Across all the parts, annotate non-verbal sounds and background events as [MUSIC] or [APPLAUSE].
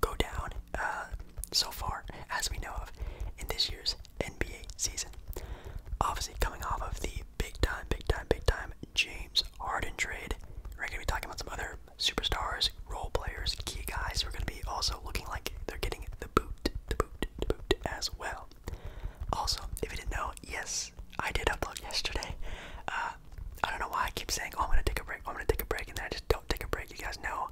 go down uh, so far as we know of in this year's NBA season. Obviously, coming off of the big time, big time, big time James Harden trade, we're going to be talking about some other superstars, role players, key guys who are going to be also looking like they're getting the boot, the boot, the boot as well. Also, if you didn't know, yes, I did upload yesterday. Uh, I don't know why I keep saying, oh, I'm gonna take a break, I'm gonna take a break, and then I just don't take a break. You guys know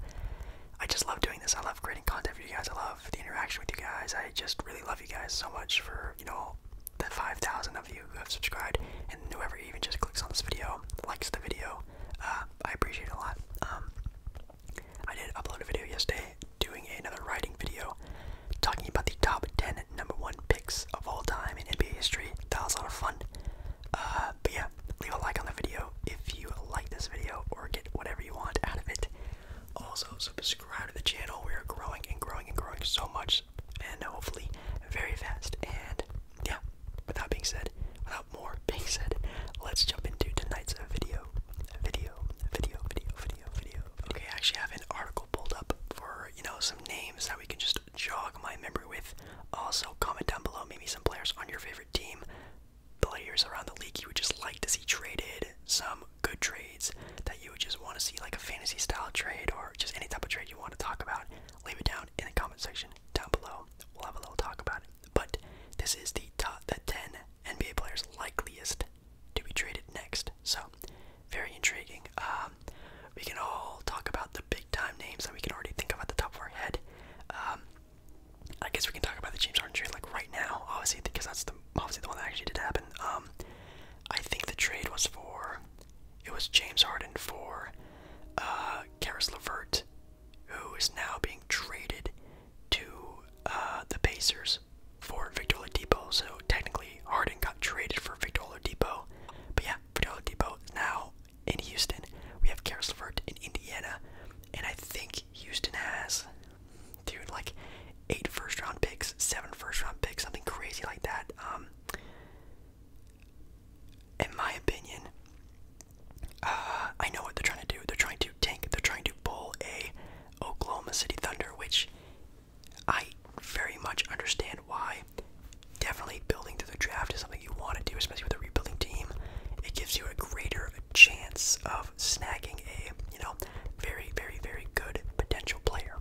I just love doing this. I love creating content for you guys. I love the interaction with you guys. I just really love you guys so much for, you know, the 5,000 of you who have subscribed and whoever even just clicks on this video, likes the video. Uh, I appreciate it a lot. Um, I did upload a video yesterday doing another writing video talking about the top 10 number one picks of all time in NBA history. That was a lot of fun. Uh, but yeah, leave a like on the video if you like this video or get whatever you want out of it. Also, subscribe to the channel. We are growing and growing and growing so much, and hopefully very fast. And yeah, without being said, without more [LAUGHS] being said, let's jump into tonight's video. Video, video, video, video, video. video. Okay, I actually have an article pulled up for you know some names that we can just jog my memory with. Also, comment down below maybe some players on your favorite team, players around the league you would just like to see traded, some good trades that you would just want to see, like a fantasy style trade or just any type of trade you want to talk about. Leave it down in the comment section down below. We'll have a little talk about it. But this is the top the 10 NBA players likeliest to be traded next. So, very intriguing. Um, we can all talk about the big time names that we can already think of at the top of our head. Um, I guess we can talk about the James Harden trade like right now, obviously, because that's the obviously the one that actually did happen. Um, I think the trade was for it was James Harden for uh, Karis LeVert, who is now being traded to uh, the Pacers for Victor Oladipo. So technically, Harden got traded for Victor Oladipo, but yeah, Victor Oladipo now in Houston. We have Karis LeVert in Indiana, and I think Houston has, dude, like eight first round picks, seven first round picks, something crazy like that. Um, in my opinion, uh, I know what they're trying to do. They're trying to tank. They're trying to pull a Oklahoma City Thunder, which I very much understand why definitely building through the draft is something you want to do, especially with a rebuilding team. It gives you a greater chance of snagging a, you know, very, very, very good potential player.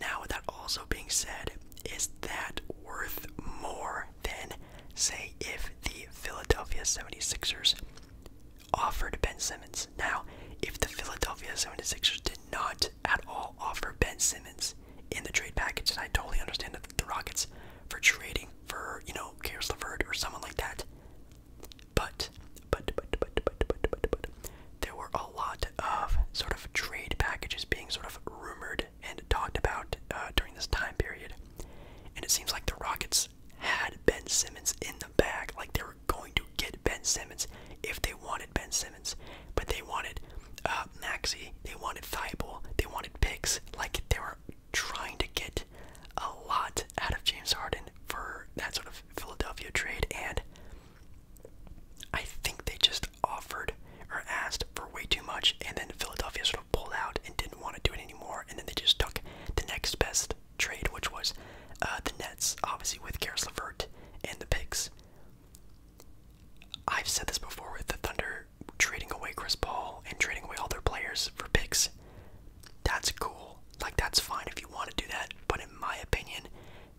Now, with that also being said, is that worth more than, say, if the Philadelphia 76ers offered Ben Simmons? Now, if the Philadelphia 76ers did not at all offer Ben Simmons, in the trade package, and I totally understand that the Rockets for trading for you know Karis LeVert or someone like that. But but but but but but but there were a lot of sort of trade packages being sort of rumored and talked about uh, during this time period, and it seems like the Rockets had Ben Simmons in the bag, like they were going to get Ben Simmons if they wanted Ben Simmons, but they wanted uh, Maxi. They wanted Thibault. They wanted picks. Like they were trying to get a lot out of James Harden for that sort of Philadelphia trade, and I think they just offered or asked for way too much, and then Philadelphia sort of pulled out and didn't want to do it anymore, and then they just took the next best trade, which was uh, the Nets, obviously with Karis LeVert and the picks. I've said this before with the Thunder trading away Chris Paul and trading away all their players for picks. That's cool. Like, that's fine if you want to do that. But in my opinion,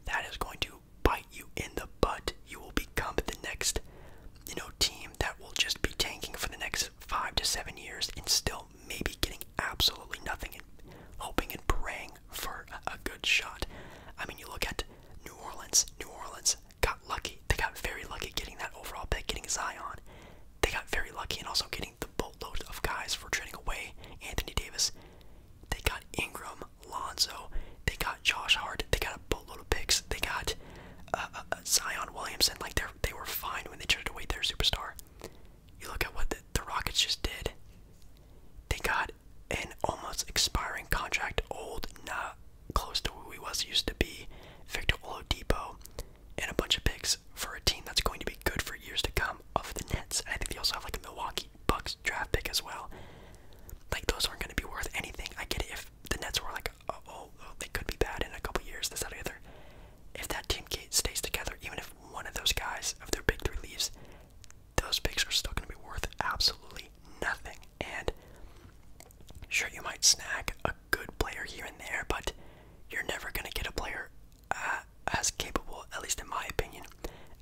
that is going to bite you in the butt. You will become the next, you know, team that will just be tanking for the next five to seven years and still maybe getting absolutely nothing and hoping and praying for a good shot. I mean, you look at New Orleans, New Orleans got lucky. They got very lucky getting that overall pick, getting Zion. They got very lucky and also getting the boatload of guys for trading away Anthony Davis. They got Ingram, Lonzo. They got Josh Hart. They got a boatload of picks. They got uh, uh, uh, Zion Williamson. Like they they were fine when they traded away their superstar. You look at what the, Rockets just did. They got an almost expiring contract, old, not close to who he was used to be, Victor Oladipo, and a bunch of picks for a team that's going to be good for years to come of the Nets. And I think they also have like a Milwaukee Bucks draft pick as well. Like those aren't going to be worth anything. I get it if the Nets were like, oh, oh, they could be bad in a couple years, this that, or the other. If that team stays together, even if one of those guys of their big three leaves, those picks are still going to be worth absolutely nothing. And Sure, you might snag a good player here and there, but you're never going to get a player uh, as capable, at least in my opinion,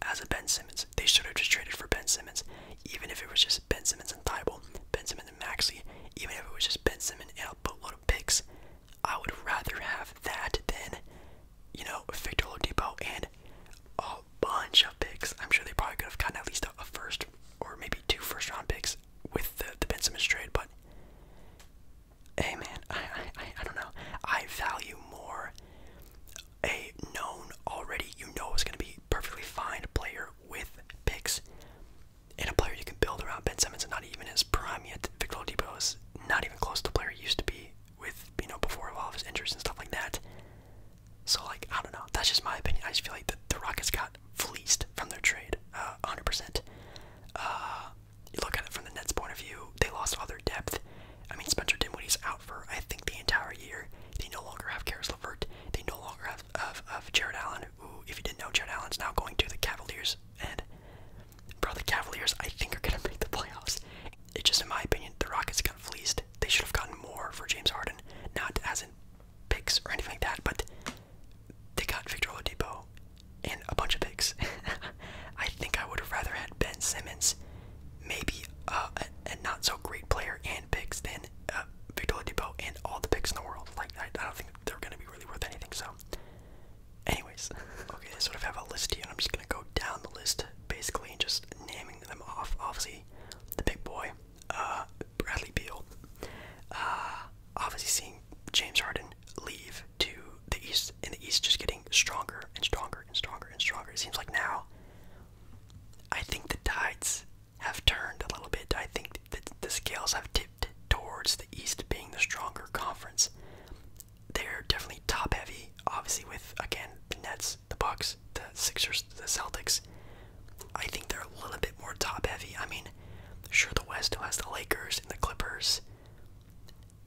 as a Ben Simmons. They should have just traded for Ben Simmons, even if it was just Ben Simmons and Thibault, Ben Simmons and Maxi, even if it was just Ben Simmons and a boatload of picks. I would rather have that than, you know, Victor Oladipo and a bunch of picks. I'm sure they probably could have gotten at least a, a first or maybe two first round picks with the, Ben Simmons trade, but hey man, I, I, I don't know. I value more a known already, you know is gonna be perfectly fine player with picks and a player you can build around. Ben Simmons and not even his prime yet. Victor Oladipo is not even close to the player he used to be with, you know, before all of his injuries and stuff like that. So like I don't know. That's just my opinion. I just feel like the, Rockets got fleeced from their trade, uh, 100%. Uh, you look at it from the Nets' point of view. They lost all their depth. I mean, Spencer Dinwiddie's out for I think the entire year. They no longer have Karis LeVert. They no longer have of, Jared Allen. Who, if you didn't know, Jared Allen's now going to the Cavaliers. And bro, the Cavaliers I think are gonna [LAUGHS] make the playoffs. It just in my opinion, the Rockets got fleeced. They should have gotten more for James Harden, not as in picks or anything like that, but they got Victor Oladipo and a bunch of picks. [LAUGHS] I think I would have rather had Ben Simmons, maybe uh, a, not so great player and picks than uh, Victor Oladipo and all the picks in the world. Like I, don't think they're gonna be really worth anything. So, anyways, [LAUGHS] okay, I sort of have a list here, and I'm just gonna go down the list basically just naming them off. Obviously, the big boy uh, Bradley Beal. Uh, obviously, seeing James Harden leave to the East, and the East just getting stronger and stronger and stronger and stronger. It seems like now, I think the tides have turned a little bit. I think that the scales have tipped towards the East being the stronger conference. They're definitely top heavy, obviously with again the Nets, the Bucks, the Sixers, the Celtics. I think they're a little bit more top heavy. I mean, sure, the West has the Lakers and the Clippers.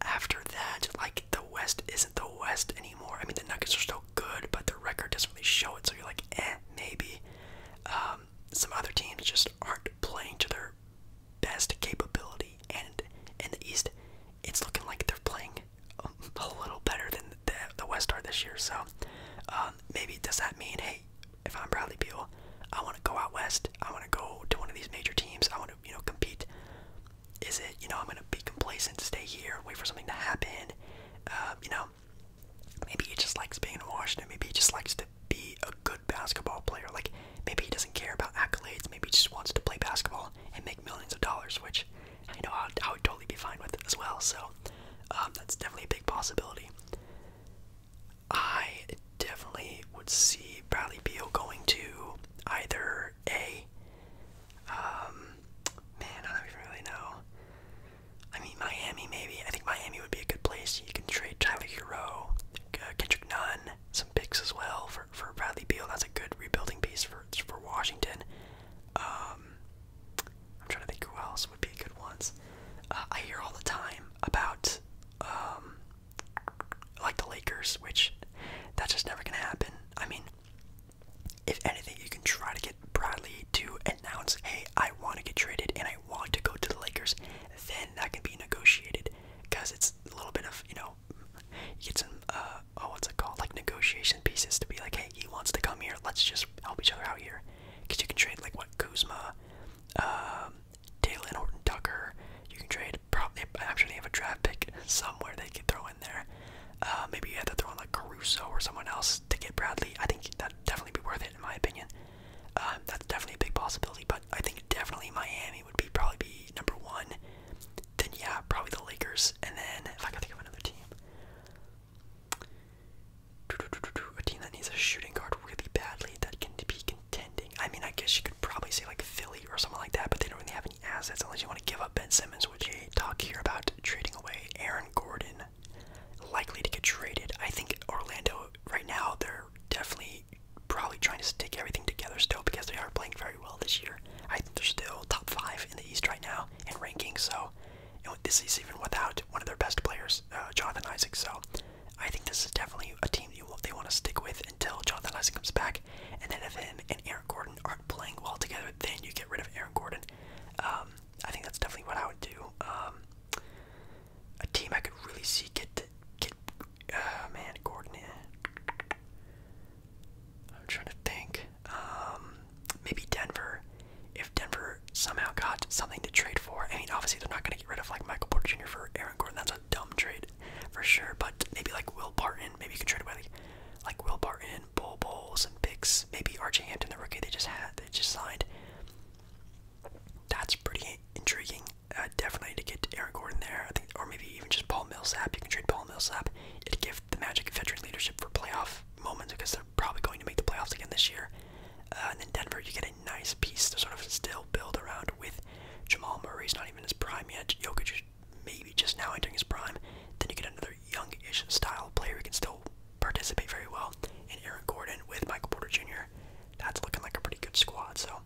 After that, like, the West isn't the West anymore. I mean, the Nuggets are still good, but the record doesn't really show it, so you're like, eh, maybe. Um, some other teams just aren't playing to their best capability, and in the East, it's looking like they're playing a little better than the, the West are this year. So um, maybe does that mean hey, if I'm Bradley Beal, I want to go out west. I want to go to one of these major teams. I want to, you know, compete. Is it, you know, I'm going to be complacent, stay here, wait for something to happen? Um, you know, maybe he just likes being in Washington. Maybe he just likes to be a good basketball player. Like, maybe he doesn't care about accolades. Maybe he just wants to play basketball and make millions of dollars, which you know I would, totally be fine with as well. So, um, that's definitely a big possibility. I definitely would see Bradley Beal going to either a um man, I don't even really know. I mean Miami maybe. I think Miami would be a good place. You can trade Tyler Hero, Kendrick Nunn, some picks as well for for Bradley Beal. That's a good rebuilding piece for for Washington. Um I'm trying to think who else would be good ones. Uh, I hear all the time about um, like the Lakers, which that's just never gonna happen. I mean, if anything, you can try to get Bradley to announce, "Hey, I want to get traded and I want to go to the Lakers." Then that can be negotiated, because it's a little bit of you know, you get some uh, oh, what's it called, like negotiation pieces to be like, "Hey, he wants to come here. Let's just help each other out here." because you can trade like what Kuzma, Dylan um, Horton Tucker. You can trade probably. I'm have a draft pick somewhere they could throw in there. Uh, maybe you have to throw in like Caruso or someone else to get Bradley. I think that'd definitely be worth it in my opinion. Um, that's definitely a big possibility. But I think definitely Miami would be probably be number one. Then yeah, probably the Lakers. And then if I can think of another team, a team that needs a shooting guard really badly that can be contending. I mean, I guess you could probably say like Philly or something like that, but they don't really have any assets unless you want to give up Ben Simmons, which they talk here about trading away Aaron Gordon, likely to get traded. I think Orlando right now they're definitely probably trying to stick everything together still because they are playing very well this year. I think they're still top five in the East right now in rankings, so and this is even without one of their best players, uh, Jonathan Isaac. So I think this is definitely a team that they want to stick with until Jonathan Isaac comes back. And then if him and Aaron Gordon aren't playing well together, then you get rid of Aaron Gordon. Um, I think that's definitely what I would do. Um, a team I could really see get to, get. Uh, man, Gordon. Yeah. I'm trying to think. Um, maybe Denver if Denver somehow got something to trade for, I mean, obviously they're not going to get rid of like Michael Porter Jr. for Aaron Gordon. That's a dumb trade for sure. But maybe like Will Barton, maybe you can trade away like, Will Barton, Bull Bowls, and picks. Maybe RJ Hampton, the rookie they just had, they just signed. That's pretty intriguing. Uh, definitely to get Aaron Gordon there, or maybe even just Paul Millsap. You can trade Paul Millsap. It'd give the Magic veteran leadership for playoff moments because probably going to make the playoffs again this year. Uh, and then Denver, you get a nice piece to sort of still build around with Jamal Murray. not even his prime yet. Jokic maybe just now entering his prime. Then you get another youngish style player who can still participate very well. And Aaron Gordon with Michael Porter Jr. That's looking like a pretty good squad. So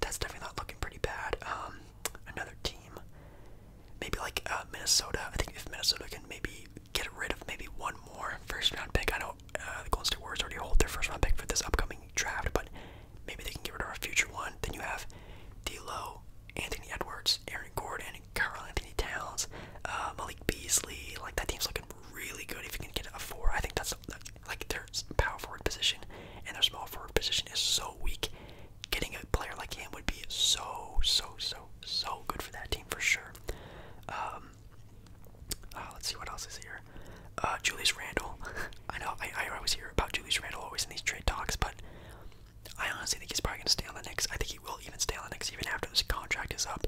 that's definitely not looking pretty bad. Um, another team, maybe like uh, Minnesota. I think if Minnesota can maybe get rid of maybe one more first round pick. I know uh, the Golden State Warriors already hold their first round pick for this upcoming draft, but maybe they can get rid of a future one. Then you have D'Lo, Anthony Edwards, Aaron Gordon, Carl Anthony Towns, uh, Malik Beasley. Like that team's looking really good if you can get a four. I think that's like their power forward position and their small forward position is so weak. Getting a player like him would be so so so so good for that team for sure. Um, uh, let's see what else is here. Uh, Julius Randle. [LAUGHS] I know I, I always hear about Julius Randle always in these trade talks, but I honestly think he's probably gonna stay on the Knicks. I think he will even stay on the Knicks even after this contract is up.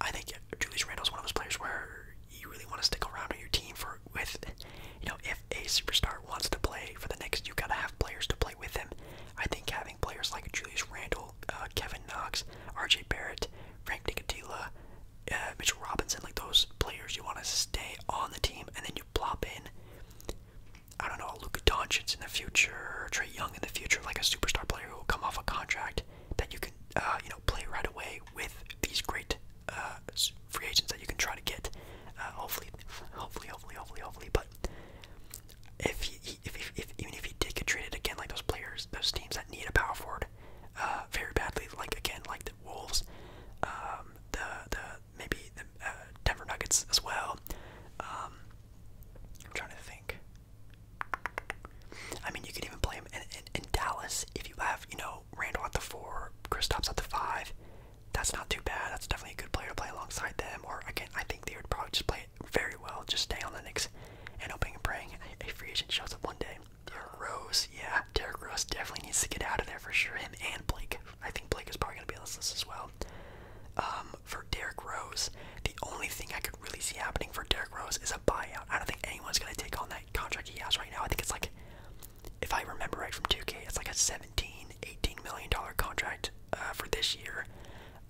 I think Julius Randle is one of those players where you really want to stick around on your team for with, you know, if a superstar wants to play for the Knicks, you gotta have players to play with him. I think having players like Julius Randle uh, Kevin Knox, R.J. Barrett, Frank Nicotila, uh, Mitchell Robinson, like those players you want to stay on the team, and then you plop in, I don't know, Luka Doncic in the future, Trey Young in the future, like a superstar player who will come off a contract that you can, uh, you know, play right away with these great free agents that you can try to get. hopefully, hopefully, hopefully, hopefully, hopefully. But if you, if, if, even if he did get traded again, like those players, those teams that need a power forward uh, very badly, like again, like the Wolves, um, the the maybe the uh, Denver Nuggets as well. Um, I'm trying to think. I mean, you could even play him in, in Dallas if you have, you know, Randall at the four, Kristaps at the five. That's not too bad. That's definitely a good player to play alongside them. Or again, I think they would probably just play very well. Just stay on the next and hoping and praying a free agent shows up one day. Derrick Rose, yeah, Derrick Rose definitely needs to get out of there for sure. Him and Blake. I think Blake is probably gonna be on this list as well. Um, for Derrick Rose, the only thing I could really see happening for Derrick Rose is a buyout. I don't think anyone's gonna take on that contract he has right now. I think it's like, if I remember right from 2K, it's like a 17, 18 million dollar contract uh, for this year.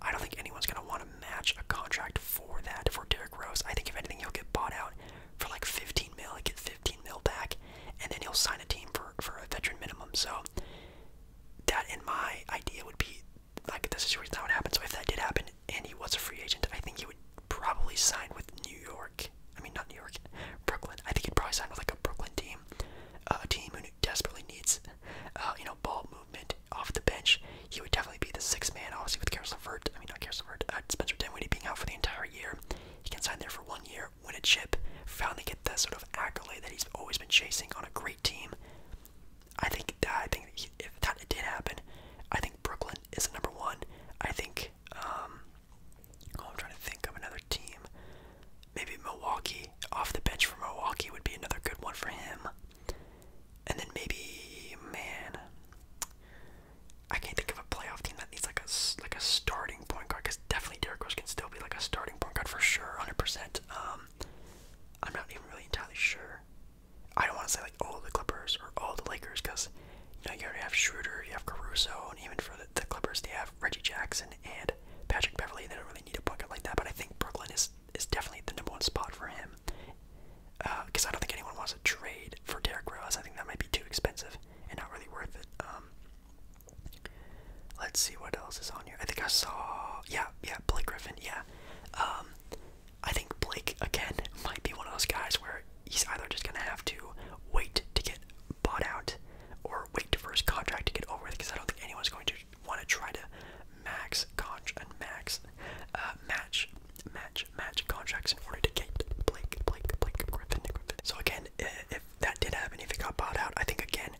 I don't think anyone's gonna want to match a contract for that for Derrick Rose. I think if anything, he'll get bought out for like 15 mil, like get 15 mil back, and then he'll sign a team for for a veteran minimum. So that, in my idea, would be like the situation that would happen. So if that did happen and he was a free agent, I think he would probably sign with New York. I mean, not New York, Brooklyn. I think he'd probably sign with like a Brooklyn team, uh, a team who desperately needs, uh, you know, ball off the bench, he would definitely be the sixth man, obviously, with Karis LeVert. I mean, not Karis LeVert, uh, Spencer Dinwiddie being out for the entire year. He can sign there for one year, win a chip, finally get that sort of accolade that he's always been chasing on a great team. I think that, I think if that did happen, I think Brooklyn is the number one. I think, um, oh, I'm trying to think of another team. Maybe Milwaukee, off the bench for Milwaukee would be another good one for him. And then maybe, man, I can't think of a playoff team that needs like a like a starting point guard. Because definitely Derrick Rose can still be like a starting point guard for sure, hundred percent. Um, I'm not even really entirely sure. I don't want to say like all the Clippers or all the Lakers because you know you already have Schroeder, you have Caruso, and even for the, Clippers they have Reggie Jackson and Patrick Beverly. They don't really need a point guard like that, but I think Brooklyn is is definitely the number one spot for him. Because uh, I don't think anyone wants to trade for Derek Rose. I think that might be too expensive and not really worth it. Um, let's see what else is on here. I think I saw, yeah, yeah, Blake Griffin, yeah. Um, I think Blake again might be one of those guys where he's either just gonna have to wait to get bought out, or wait for his contract to get over because I don't think anyone's going to want to try to max contract and max uh, match match match contracts in order to get Blake Blake Blake Griffin Griffin. So again, if that did happen, if it got bought out, I think again,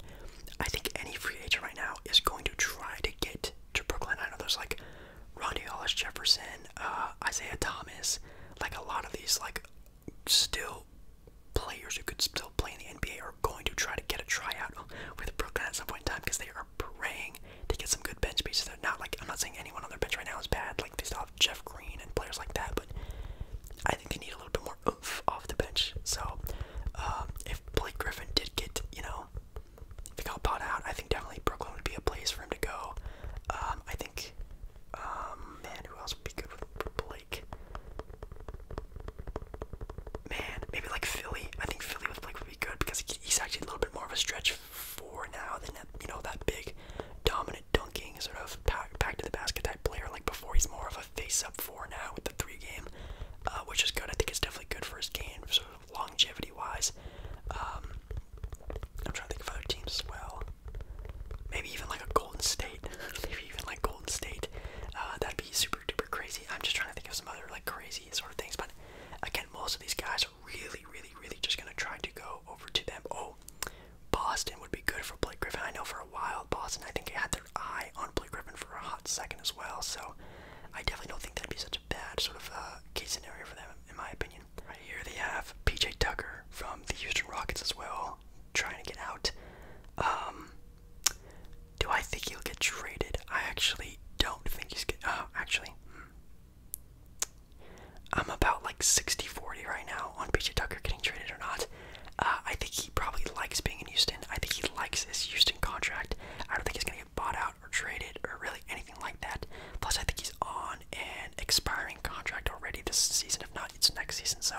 I think any free agent right now is going to try to get to Brooklyn. I know there's like Ronnie Hollis Jefferson, uh, Isaiah Thomas, like a lot of these like still players who could still play in the NBA are going to try to get a tryout with Brooklyn at some point in time because they are praying to get some good bench pieces. They're not like I'm not saying anyone on their bench right now is bad. Like they still have Jeff Green and players like that, but I think they need a little bit more oomph off the bench. So um, if Blake Griffin did get, you know, if he got bought out, I think definitely Brooklyn would be a place for him to go. Um, I think, um, man, who else would be good for Blake? Man, maybe like Philly. I think Philly with Blake would be good because he's actually a little bit more of a stretch four now than that, you know that big dominant dunking sort of pack, pack to the basket type player like before. He's more of a face up four now with the three game, uh, which is good. I think it's definitely good for his game, sort of longevity wise. Um, I'm trying to think of other teams as well. Maybe even like a Golden State. [LAUGHS] Maybe even like Golden State. Uh, that'd be super duper crazy. I'm just trying to think of some other like crazy sort of things, but again, most of these guys really, really, really just gonna try to go over to them. Oh, Boston would be good for Blake Griffin. I know for a while Boston, I think, had their eye on Blake Griffin for a hot second as well. So I definitely don't think that'd be such a bad sort of uh, case scenario for them, in my opinion. Right here they have PJ Tucker from the Houston Rockets as well, trying to get out. Um, do I think he'll get traded? I actually don't think he's get. Uh, actually, hmm. I'm about like 60 40 right now on PJ Tucker getting traded or not. Uh, I think he probably likes being in Houston. I think he likes his Houston contract. I don't think he's going to get bought out or traded or really anything like that. Plus, I think he's on an expiring contract already this season, if not, it's next season. So,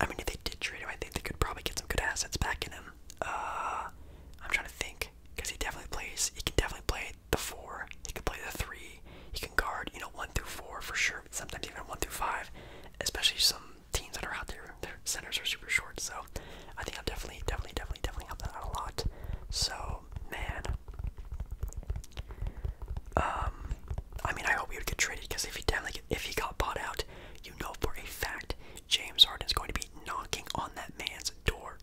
I mean, if they did trade him, I think they could probably get some good assets back in him. Uh, I'm trying to think because he definitely plays. He can definitely play the four. He can play the three. He can guard, you know, one through four for sure. Sometimes even one through five, especially some teams that are out there. Their centers are super short, so I think I'll definitely, definitely, definitely, definitely help that out a lot. So man, um, I mean, I hope he would get traded because if he definitely, if he got bought out, you know for a fact James Harden is going to be knocking on that man's door.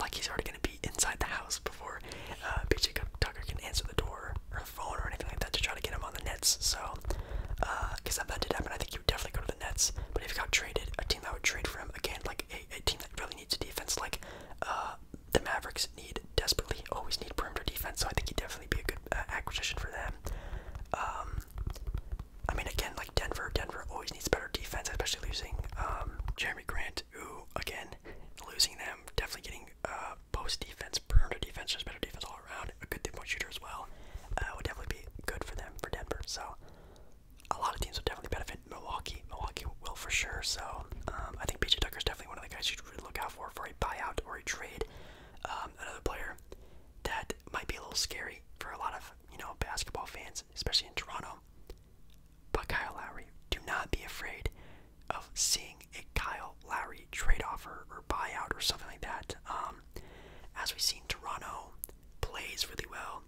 Like he's already gonna be inside the house before uh, PJ Tucker can answer the door or the phone or anything like that to try to get him on the Nets. So, because uh, if that did happen, I think he would definitely go to the Nets. But if he got traded, a team that would trade for him again, like a, team that really needs a defense, like uh, the Mavericks need desperately, always need perimeter defense. So I think he'd definitely be a good uh, acquisition for them. Um, I mean, again, like. Denver. Denver always needs better defense, especially losing um, Jeremy Grant, who again losing them, definitely getting a uh, post defense, perimeter defense, There's better defense all around. A good three point shooter as well uh, would definitely be good for them for Denver. So a lot of teams would definitely benefit. Milwaukee, Milwaukee will for sure. So um, I think PJ Tucker is definitely one of the guys you should really look out for for a buyout or a trade. Um, another player that might be a little scary for a lot of you know basketball fans, especially in Toronto, but Kyle Lowry, do not be afraid of seeing a Kyle Lowry trade offer or buyout or something like that. Um, as we've seen, Toronto plays really well,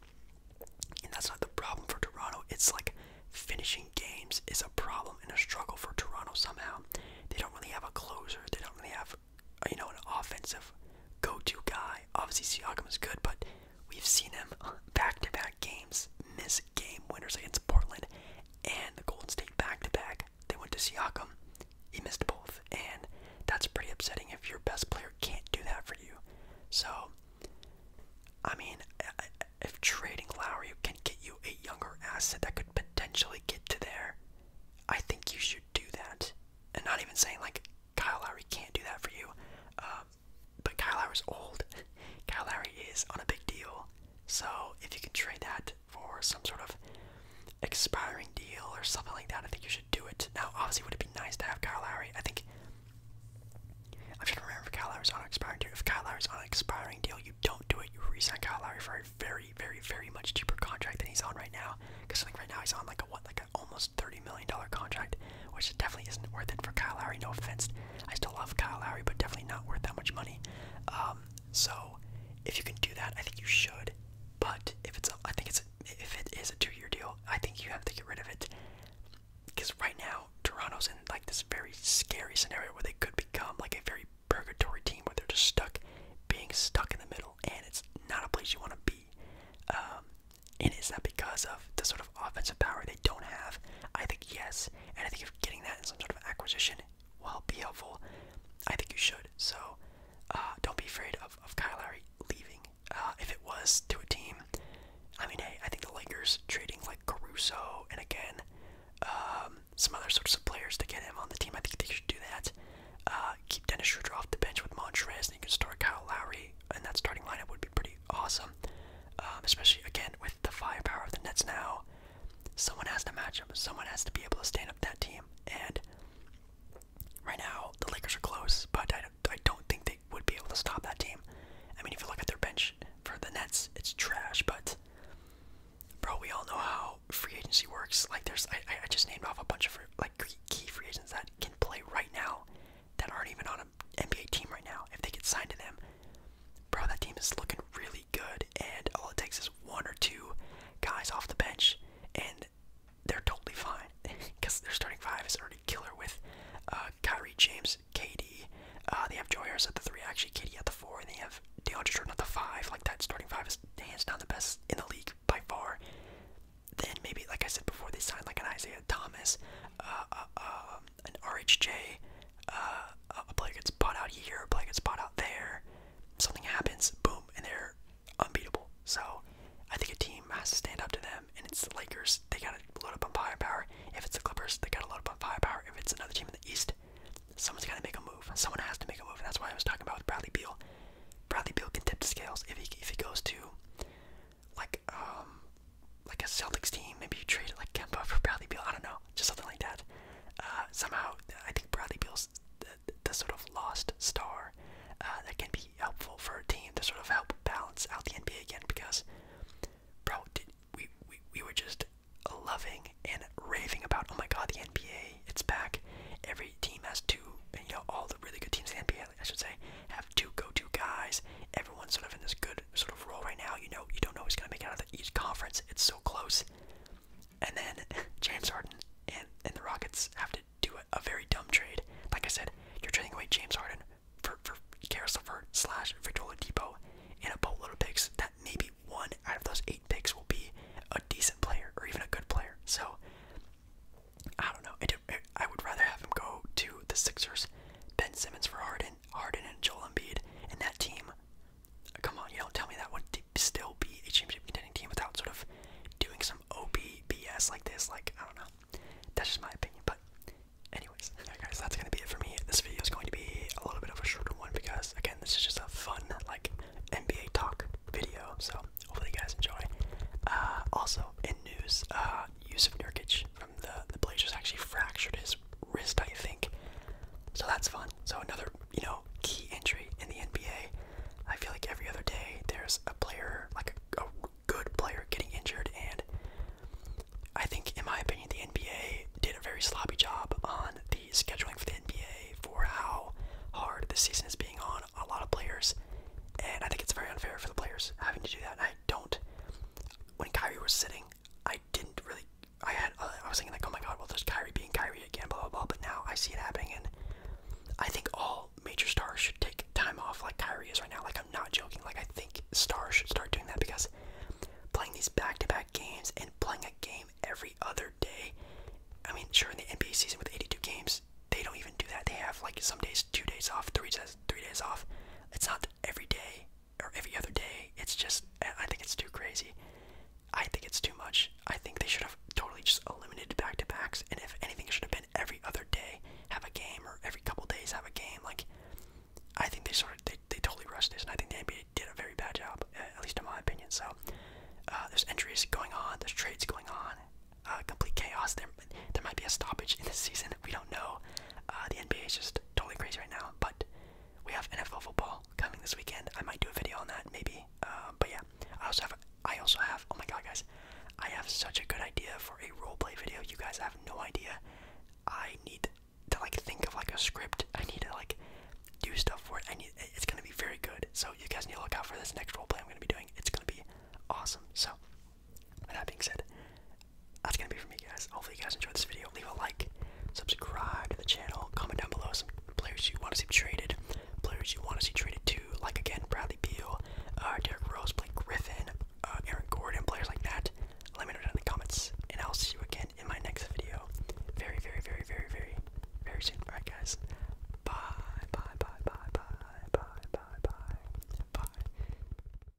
and that's not the problem for Toronto. It's like finishing games is a problem and a struggle for Toronto somehow. They don't really have a closer. They don't really have, you know, an offensive go-to guy. Obviously, Siakam is good, but We've seen him back to back games miss game winners against Portland and the Golden State back to back. They went to Siakam. He missed both, and that's pretty upsetting if your best player can't do that for you. So, I mean, if trading Lowry can get you a younger asset that could potentially get to there, I think you should do that. And not even saying like Kyle Lowry can't do that for you. Um, but Kyle Lowry's old. [LAUGHS] Kyle Lowry is on a big deal. So if you can trade that for some sort of expiring deal or something like that, I think you should do it. Now, obviously, would it be nice to have Kyle Lowry? I think. I'm trying to remember if Kyle Lowry's on an expiring deal. If Kyle Lowry's on an expiring deal, you don't do it. You resign Kyle Lowry for a very, very, very much cheaper contract than he's on right now. Because I think right now he's on like a what, like a almost $30 million contract, which definitely isn't worth it for Kyle Lowry. No offense. I still love Kyle Lowry, but definitely not worth that much money. Um, so if you can do that, I think you should. But if it's, a, I think it's, a, if it is a two-year deal, I think you have to get rid of it. Because right now, Toronto's in like this very scary scenario where they could become like a very purgatory team where they're just stuck, being stuck in the middle, and it's not a place you want to be. Um, and is that because of the sort of offensive power they don't have? I think yes. And I think if getting that in some sort of acquisition will be helpful, I think you should. So uh, don't be afraid of, of Kyle Lowry leaving. Uh, if it was to a team, I mean, hey, I think the Lakers trading like Caruso and again, um, some other sorts of players to get him on the team, I think they should do that. Uh, keep Dennis Schroeder off the bench with Montrez, and you can start Kyle Lowry, and that starting lineup would be pretty awesome, um, especially again with the firepower of the Nets now. Someone has to match them. Someone has to be able to stand up that team. And right now, the Lakers are close, but I don't, think they would be able to stop that team. I mean, if you look at their bench for the Nets, it's trash. But bro, we all know how free agency works. Like, there's I just named off a bunch of like key free agents that can play right now that aren't even on an NBA team right now. If they get signed to them, bro, that team is looking really good. And all it takes is one or two guys off the bench, and they're totally fine because [LAUGHS] their starting five is already killer with uh, Kyrie James, KD. Uh, they have Joy at the three, actually KD at the four, and they have DeAndre Jordan at the five. Like that starting five is hands down the best in the league by far. Then maybe, like I said before, they sign like an Isaiah Thomas, uh, uh, uh um, an RHJ, uh, a player gets bought out here, a player gets bought out there, something happens, boom, and they're unbeatable. So I think a team has to stand up to them, and it's the Lakers, they gotta load up on firepower. If it's the Clippers, they gotta load up on firepower. If it's another team in the East, someone's gotta make a move. Someone has to make a move, and that's why I was talking about with Bradley Beal. Bradley Beal can tip the scales if he if he goes to like um like a Celtics team, maybe you trade like Kemba for Bradley Beal. I don't know, just something like that. Uh, somehow, I think Bradley Beal's the, the sort of lost star uh, that can be helpful for a team to sort of help balance out the NBA again. Because, bro, did, we, we we were just loving and raving about. Oh my God, the NBA, it's back. Every team has two, and you know all the really good teams in the NBA I should say, have two go-to guys. Everyone's sort of in this good sort of role right now. You know, you don't know who's going to make it out of the East Conference. It's so close. And then [LAUGHS] James Harden and, the Rockets have to do a, very dumb trade. Like I said, you're trading away James Harden for, for Karis LeVert slash Victor Oladipo and a boatload of picks that maybe one out of those eight picks will be a decent player or even a good player. So, I don't know. It, it, I would rather have him go to the Sixers, Ben Simmons for Harden, Harden and Joel Embiid, and that team. Come on, you don't tell me that would still be a championship contending team without sort of doing some OP BS like this. Like I don't know, that's just my opinion. But anyways, [LAUGHS] all right, guys, that's gonna be it for me. This video is going to be a little bit of a shorter one because again, this is just a fun like NBA talk video. So hopefully you guys enjoy. Uh, also in news, uh, use of Nurkic from um, the the blade just actually fractured his wrist, I think. So that's fun. So another, you know, key injury in the NBA. I feel like every other day there's a player, like a, good player, getting injured, and I think, in my opinion, the NBA did a very sloppy job on the scheduling for the NBA for how hard this season is being on a lot of players, and I think it's very unfair for the players having to do that. I I don't. When Kyrie was sitting, I didn't really. I had. I was thinking like, oh my god, well, there's Kyrie being Kyrie again, blah blah blah. But now I see it happening, and I think all major stars should take time off, like Kyrie is right now. Like I'm not joking. Like I think stars should start doing that because playing these back to -back games and playing a game every other day. I mean, sure, in the NBA season with 82 games, they don't even do that. They have like some days, two days off, three days, three days off. It's not every day or every other day. It's just I think it's too crazy. I think it's too much. I think they should have totally just eliminated back to backs, and if anything, it should have been every other day have a game or every couple days have a game. Like I think they sort of they, they totally rushed this, and I think the NBA did a very bad job, at least in my opinion. So uh, there's injuries going on, there's trades going on, uh, complete chaos. There there might be a stoppage in the season. We don't know. Uh, the NBA is just totally crazy right now, but we have NFL football coming this weekend. I might do a video on that, maybe. Uh, but yeah, I also have. I also have. Oh my god, guys, I have such a good idea for a roleplay video. You guys have no idea. I need to like think of like a script. I need to like do stuff for it. I need. It's gonna be very good. So you guys need to look out for this next roleplay I'm gonna be doing. It's gonna be awesome. So with that being said, that's gonna be for me, guys. Hopefully, you guys enjoyed this video. Leave a like, subscribe to the channel, comment down below some players you want to see traded, players you want to see traded to, like again Bradley Beal, uh, Derek Rose, Blake Griffin, uh, Aaron Gordon, players like that. Let me know down in the comments, and I'll see you again in my next video. Very, very, very, very, very, very soon. All right, guys. Bye, bye, bye, bye, bye, bye, bye, bye, bye.